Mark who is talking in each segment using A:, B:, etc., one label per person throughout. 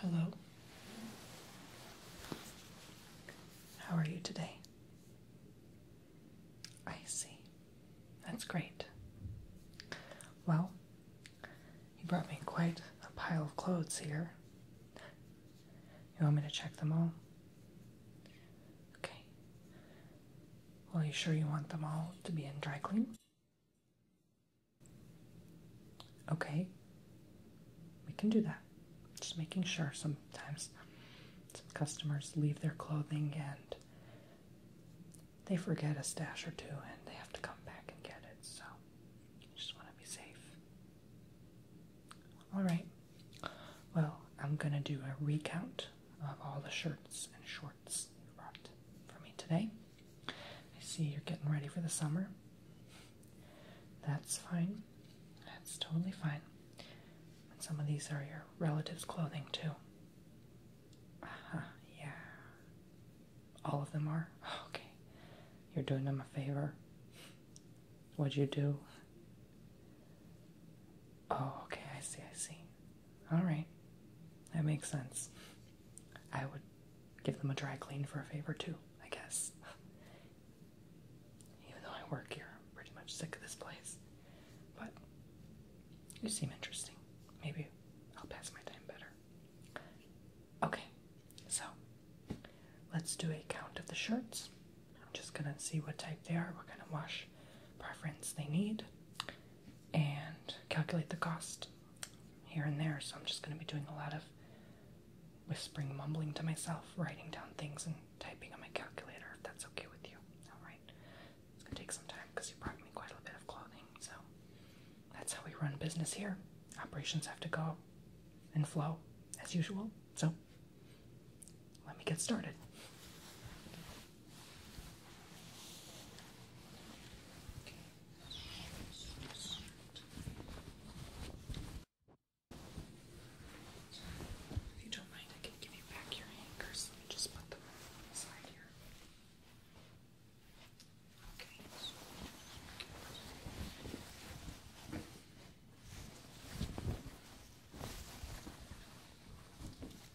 A: Hello. How are you today? I see. That's great. Well, you brought me quite a pile of clothes here. You want me to check them all? Okay are you sure you want them all to be in dry clean? Okay, we can do that. Just making sure sometimes some customers leave their clothing and they forget a stash or two and they have to come back and get it. So, you just want to be safe. All right. Well, I'm going to do a recount of all the shirts and shorts for me today. I see you're getting ready for the summer. That's fine. That's totally fine. some of these are your relatives' clothing, too. Uh huh, yeah. All of them are? Okay. You're doing them a favor. What'd you do? Oh, okay, I see, I see. All right. That makes sense. I would give them a dry clean for a favor too, I guess. Even though I work here, I'm pretty much sick of this place. But you seem interesting. Maybe I'll pass my time better. Okay, so let's do a count of the shirts. I'm just gonna see what type they are. We're gonna wash preference they need and calculate the cost here and there. So I'm just going to be doing a lot of whispering, mumbling to myself, writing down things, and typing on my calculator if that's okay with you. Alright. It's going to take some time because you brought me quite a bit of clothing. So that's how we run business here. Operations have to go and flow as usual. So let me get started. If you don't mind, I can give you back your anchors. Let me just put them on the side here. Okay.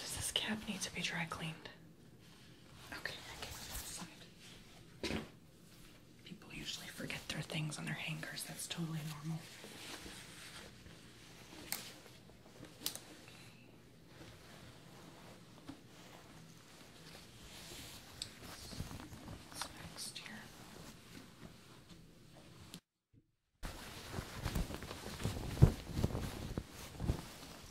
A: Does this cap need to be dry cleaned? Okay, People usually forget their things on their hangers. That's totally normal.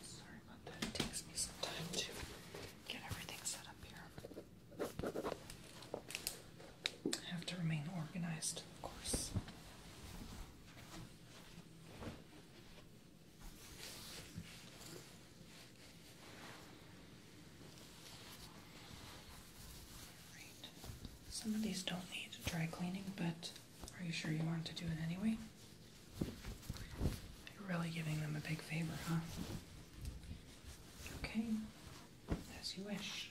A: sorry about that. takes me some time to get everything set up here. I have to remain organized, of course. Some of these don't need dry cleaning, but are you sure you want to do it anyway? You're really giving them a big favor, huh? Okay, as you wish.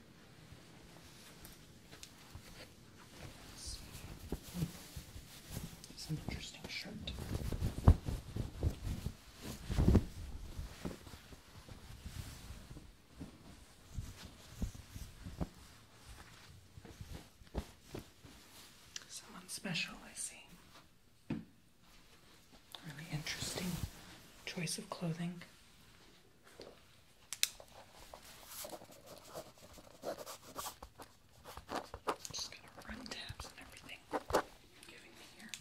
A: It's interesting shirt. Someone special, I see. Really interesting choice of clothing. Just gonna run tabs and everything giving me here.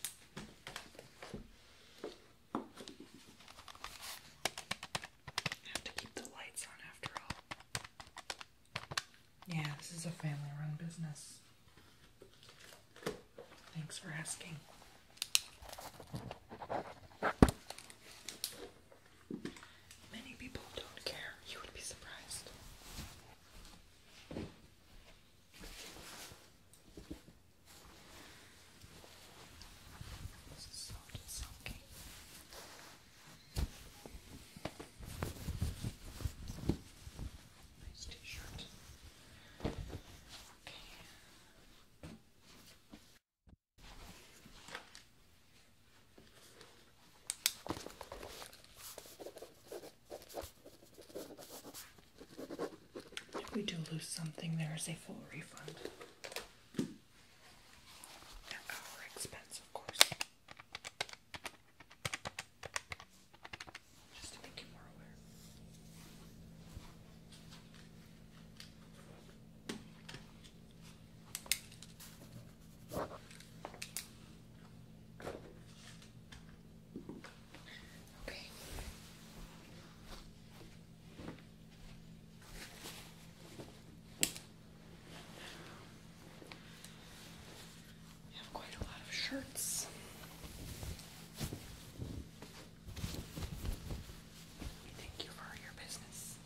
A: have to keep the lights on after all. Yeah, this is a family run business. Thanks for asking. Many people don't care. You would be surprised. This is so silky. Nice t-shirt. Okay. If we do lose something, there is a full refund. At our expense, of course. Just to make you more aware. Okay. We have quite a lot of shirts. We thank you for your business.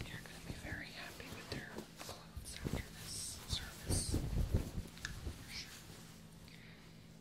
A: You're going to be very happy with their clothes after this service. For sure.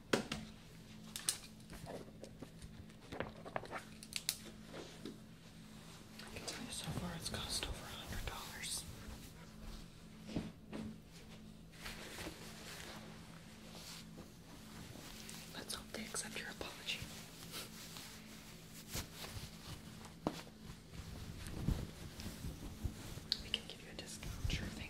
A: I can tell you so far it's cost over a hundred dollars. Let's hope they accept your apology. We can give you a discount, sure thing.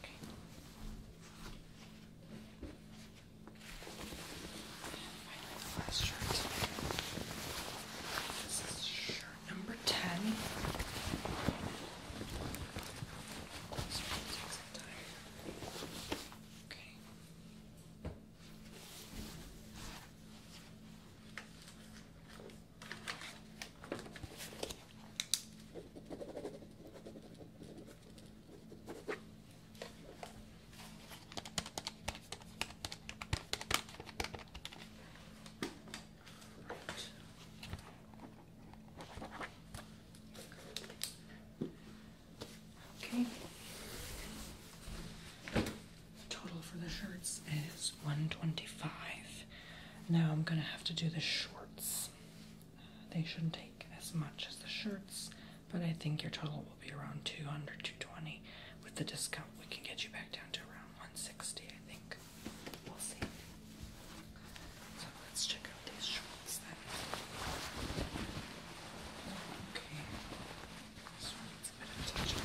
A: Finally, the last shirt. This is shirt number 10. This will take some time. Okay. Okay. Okay. Total for the shirts is 125. Now I'm going to have to do the shorts. They shouldn't take as much as the shirts, but I think your total will be around 200 220 with the discount. We can get you back down to around 160, I think. We'll see. So let's check out these shorts Okay. see.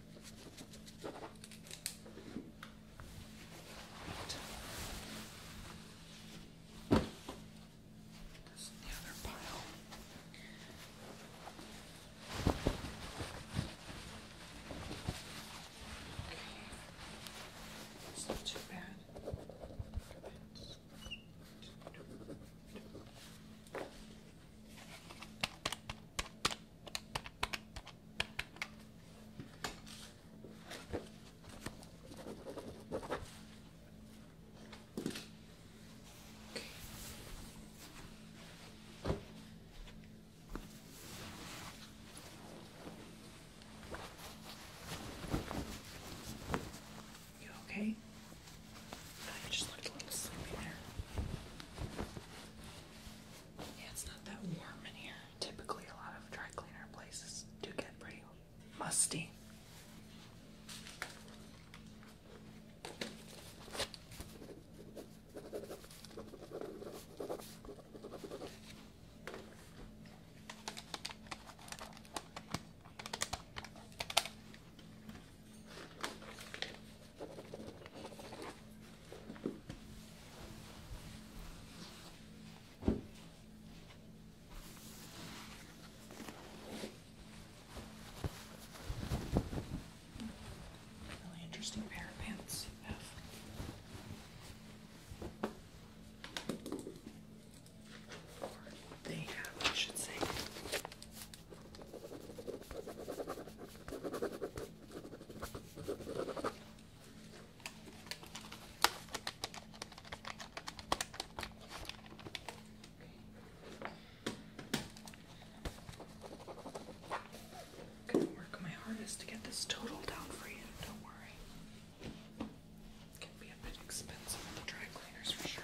A: Right. This is the other pile. Okay. It's not too bad. It's you okay? I just looked a little sleepy there. Yeah, it's not that warm in here. Typically, a lot of dry cleaner places do get pretty musty. Really interesting pair of pants you have. Or they have, I should say. I'm gonna work my hardest to get this total down for you, don't worry. It can be a bit expensive at the dry cleaners for sure.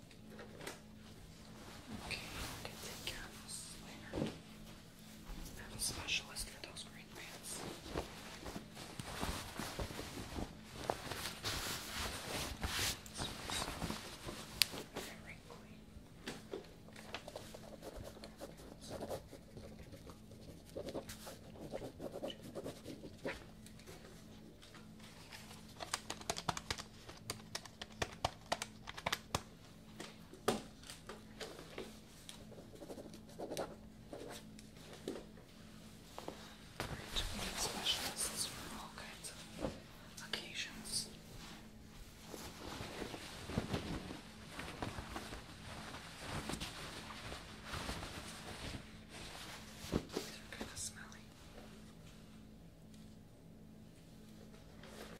A: Okay, you can take care of this later. I'm a specialist for those green pants. It's very clean. Okay. We have specialists for all kinds of occasions. These kind of smelly.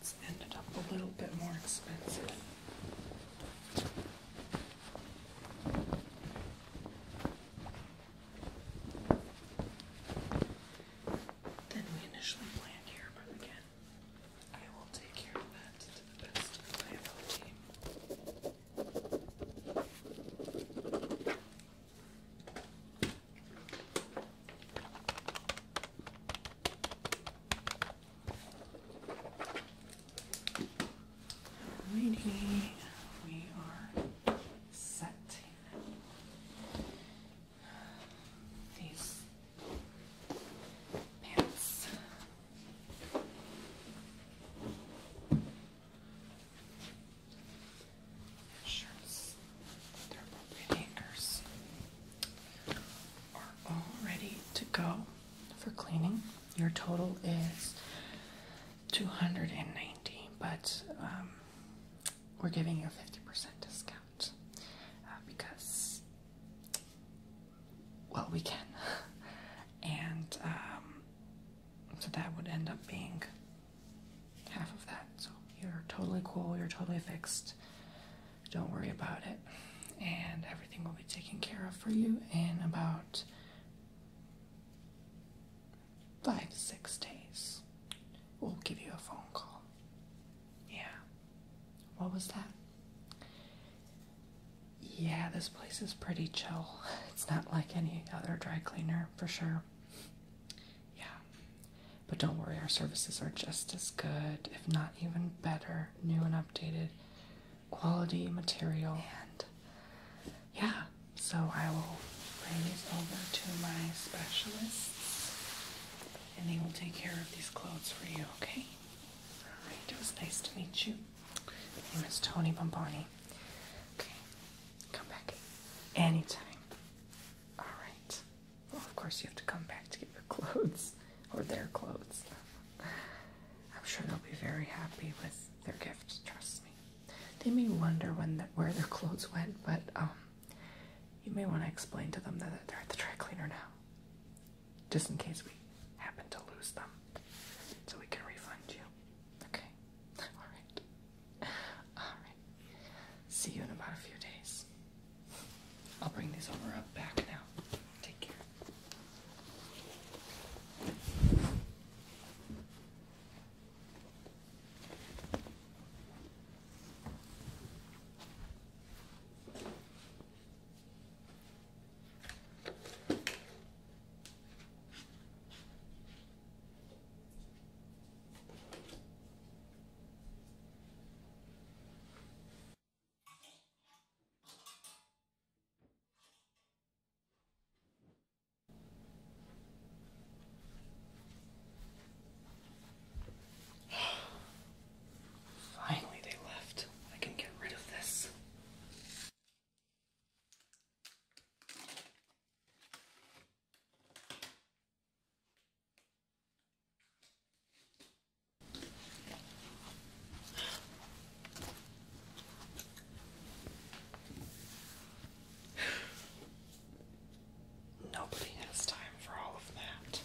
A: It's ended up a little bit more expensive. Then we initially planned here, but again, I will take care of that to the best of my ability. Alrighty, we are set. These pants. Shirts, they're appropriate anchors are all ready to go for cleaning. Your total is 290, but um, we're giving you a 50% discount uh, because, well, we can. and um, so that would end up being half of that. So you're totally cool, you're totally fixed. Don't worry about it. And everything will be taken care of for you in about five, six days. We'll give you a phone call. Yeah. What was that? Yeah, this place is pretty chill. It's not like any other dry cleaner for sure. Yeah, but don't worry, our services are just as good, if not even better, new and updated quality material. And yeah, so I will bring these over to my specialists and they will take care of these clothes for you, okay? Alright, it was nice to meet you. My name is Tony Bomboni. Okay, come back anytime. Alright of course, you have to come back to get your clothes or their clothes. I'm sure they'll be very happy with their gift, trust me. They may wonder when the, where their clothes went, but um, you may want to explain to them that they're at the dry cleaner now, just in case we happen to lose them, so we can refund you. Okay? Alright. Alright. See you in about a few days. I'll bring these over up back now. Take care. Finally, they left. I can get rid of this. Nobody has time for all of that.